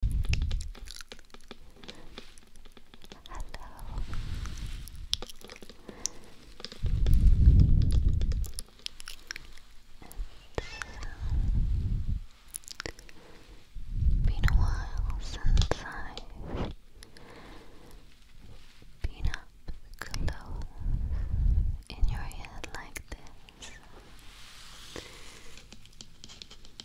Hello. It's been a while since I've been up close in your head like this.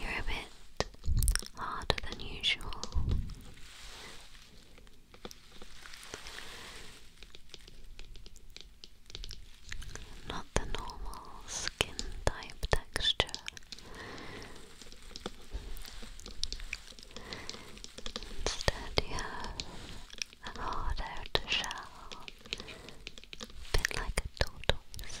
You're a bit harder than usual. Not the normal skin type texture. Instead, you have a hard outer shell, bit like a tortoise.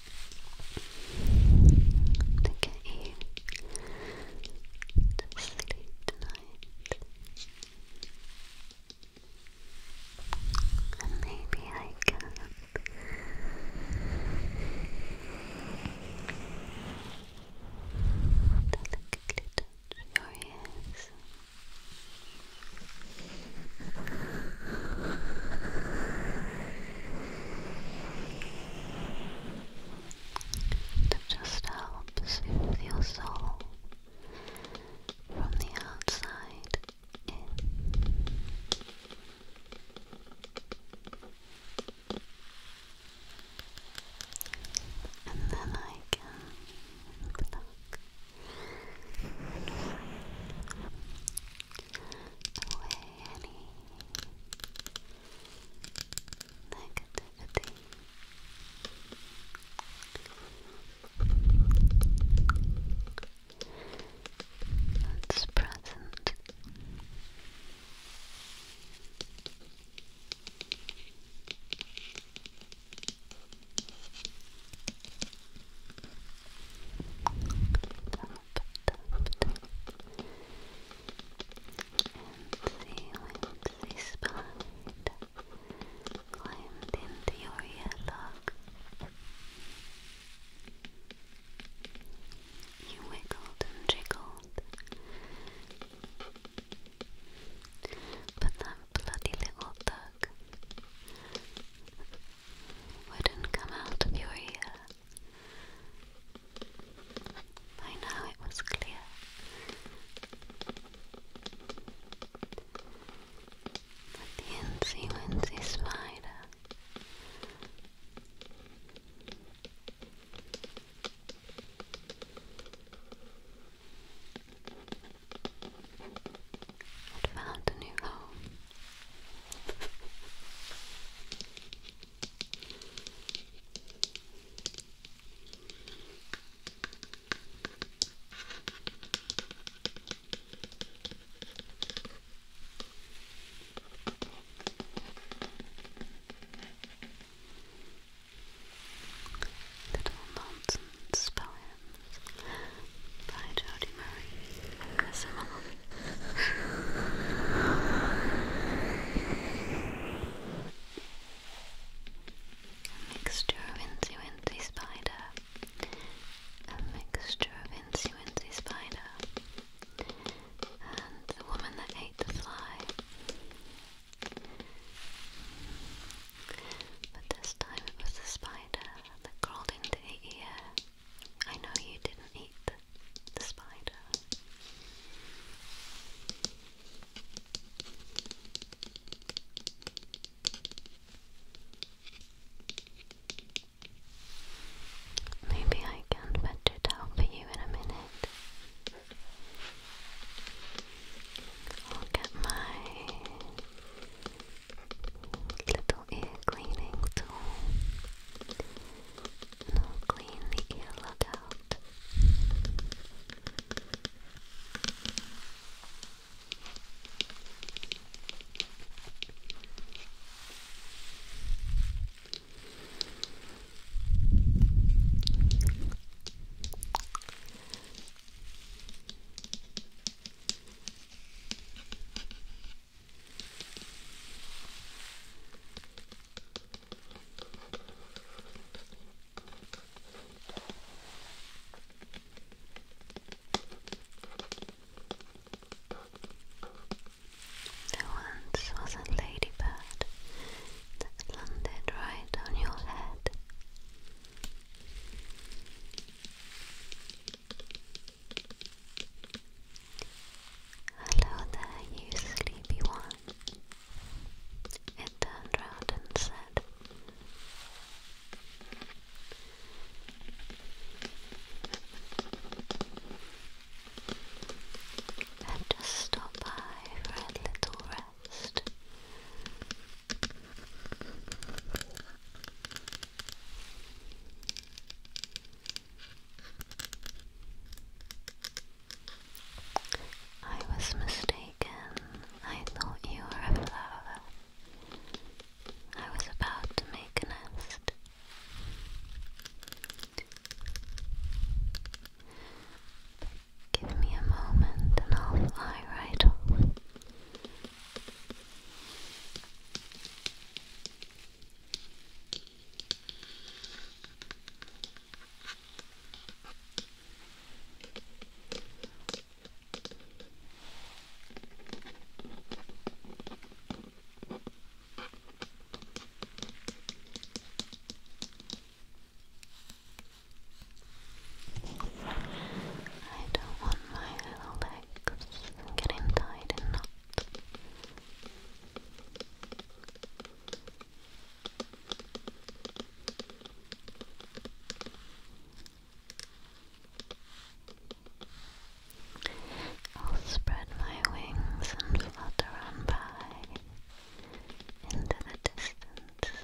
to get you to sleep tonight. And maybe I can delicately touch your ears. It just helps your soul from the outside in. And then I can pluck away any negativity. That's present the climbed into your earlock. You wiggled and jiggled, but that bloody little thug wouldn't come out of your ear. By now it was clear. That the Incy Wincy Spider had found a new home. Little nonsense spelling by Jodie Murray A mixture of Incy Wincy Spider. A mixture of Incy Wincy Spider. And the woman that ate the fly. But this time it was the spider that crawled into the ear. I know you didn't eat the, spider. Maybe I can fetch it for you in a minute. I'll get my Little ear cleaning tool. Now clean the earlock out. There once was a ladybird that landed right on your head. Hello there, you sleepy one. It turned round and said, just stopped by for a little rest. I was mistaken. I thought you were a flower. I was about to make a nest. Give me a moment and I'll fly right off. I don't want my little I'll spread my wings and flutter on by into the distance,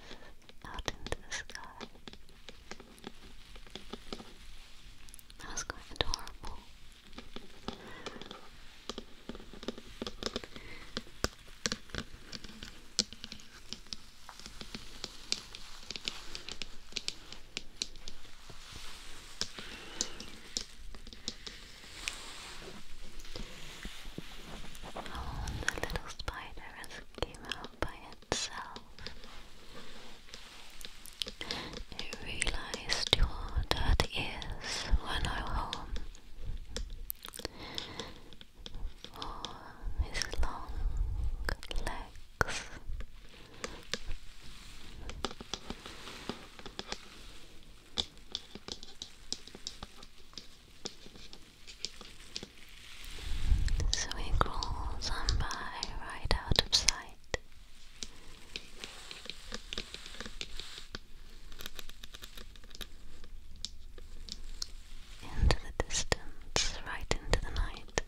out into the sky. That was quite adorable. Oh, the little spider has came out by itself. You realized your dirty ears were no home. For his long legs. So he crawls on by right out of sight. Into the distance, right into the night.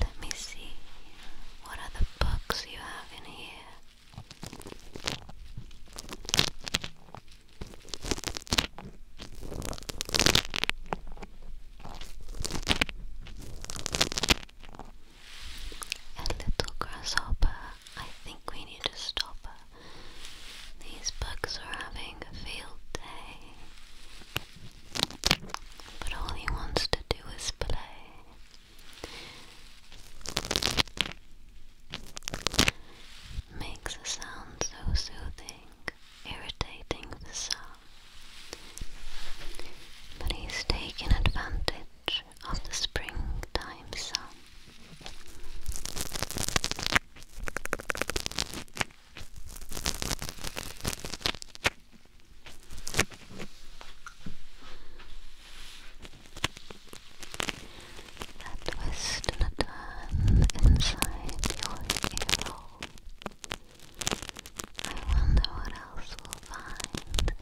Let me see what other books you have in here. A little grasshopper, uh, I think we need to stop her. Uh. These bugs are having a field day. But all he wants to do is play. Makes a sound so soothing, irritating the some. But he's taken advantage of the springtime sun. A twist and a turn inside your ear I wonder what else we'll find.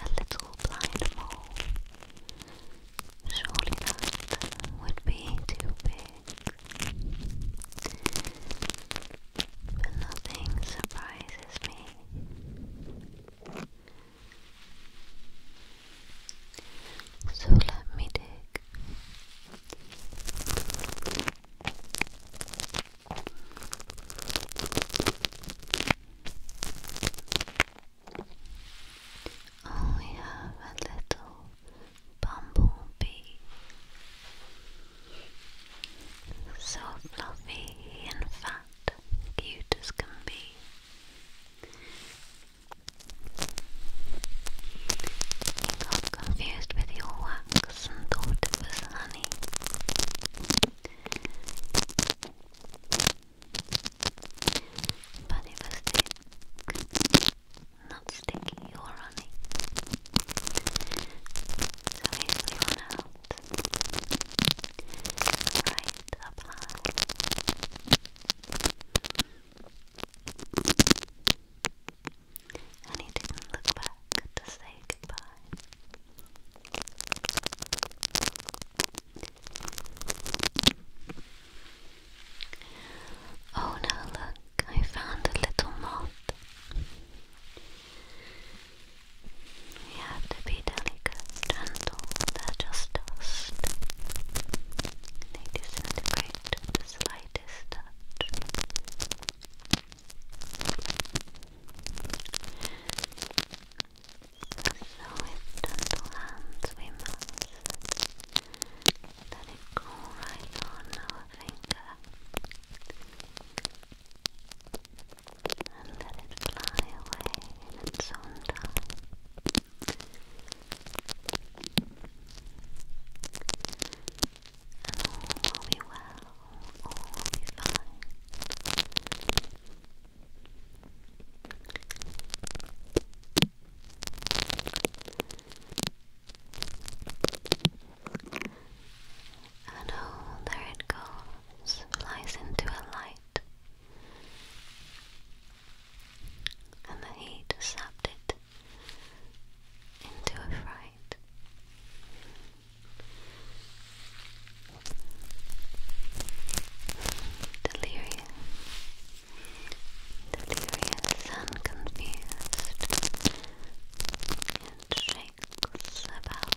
A little blind mole. Surely that would be too big. But nothing surprises me. So let me dig. Oh, we have a little bumblebee. So fluffy, in fact that, cute as can be. got confused with your wax and thought it was honey. But it was thick, not sticky or honey. So here's your now right up high. And didn't look back to say goodbye. Oh, now look, I found a little moth. We have to be delicate, gentle, just dust. They disintegrate with the slightest touch. with gentle hands we must let it on our finger and let it fly away in its own time. And all will be well, all will be fine. And oh, there it goes, flies into a light and the heat sapped it into a fright. Delirious, delirious and confused, it shakes about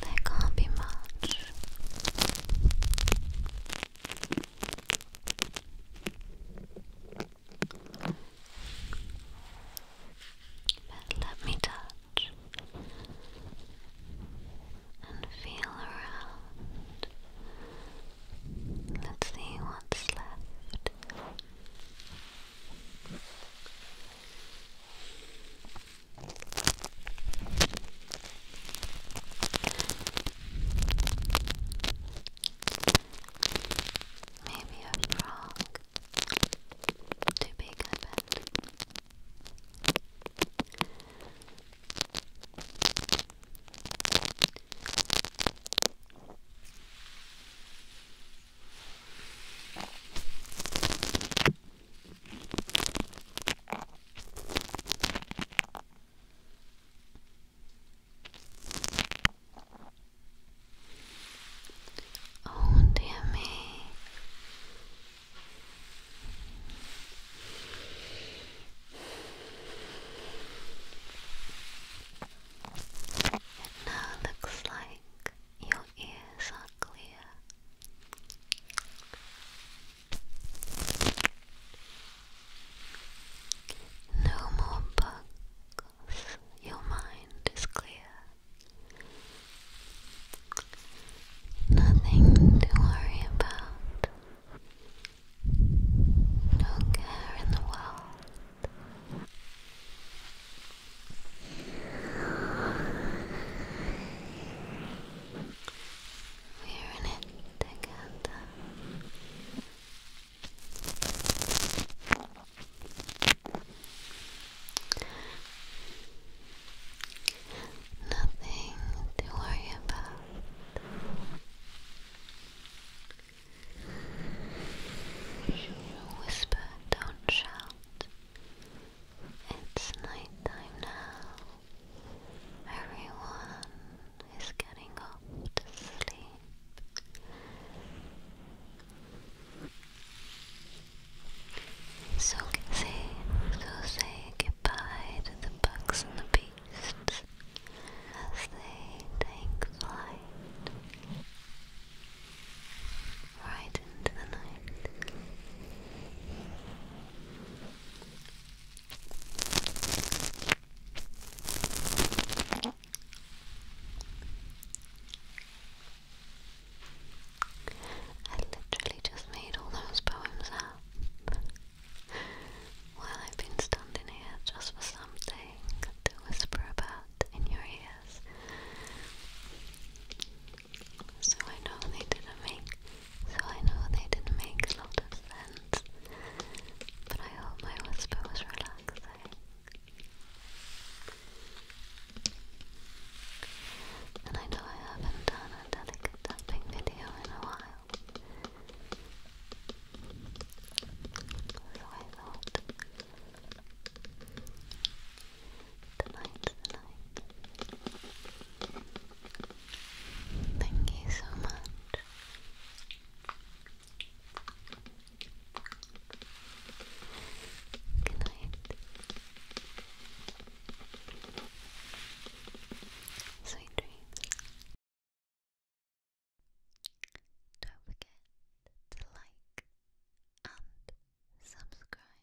There can't be much. let me touch touch and feel around. Let's see what's left. Maybe a frog. Too big, I bet. Oh, dear me, it now looks like your ears are clear. No more bugs. Your mind is clear. Nothing to worry about. No care in the world. We're in it together. Nothing to worry about. Whisper, don't shout. It's nighttime now. Everyone is getting up to sleep. Soothing, so say goodbye to the bugs and the beasts as they take flight right into the night. I literally just made all those poems up while I've been standing here just for something to whisper about in your ears. So I know they didn't make so I know they didn't make a lot of sense. But I hope my whisper was relaxing. And I know I haven't done a delicate video in a while. So I thought Thank you so much. Good Sweet dreams. Don't forget to like and subscribe.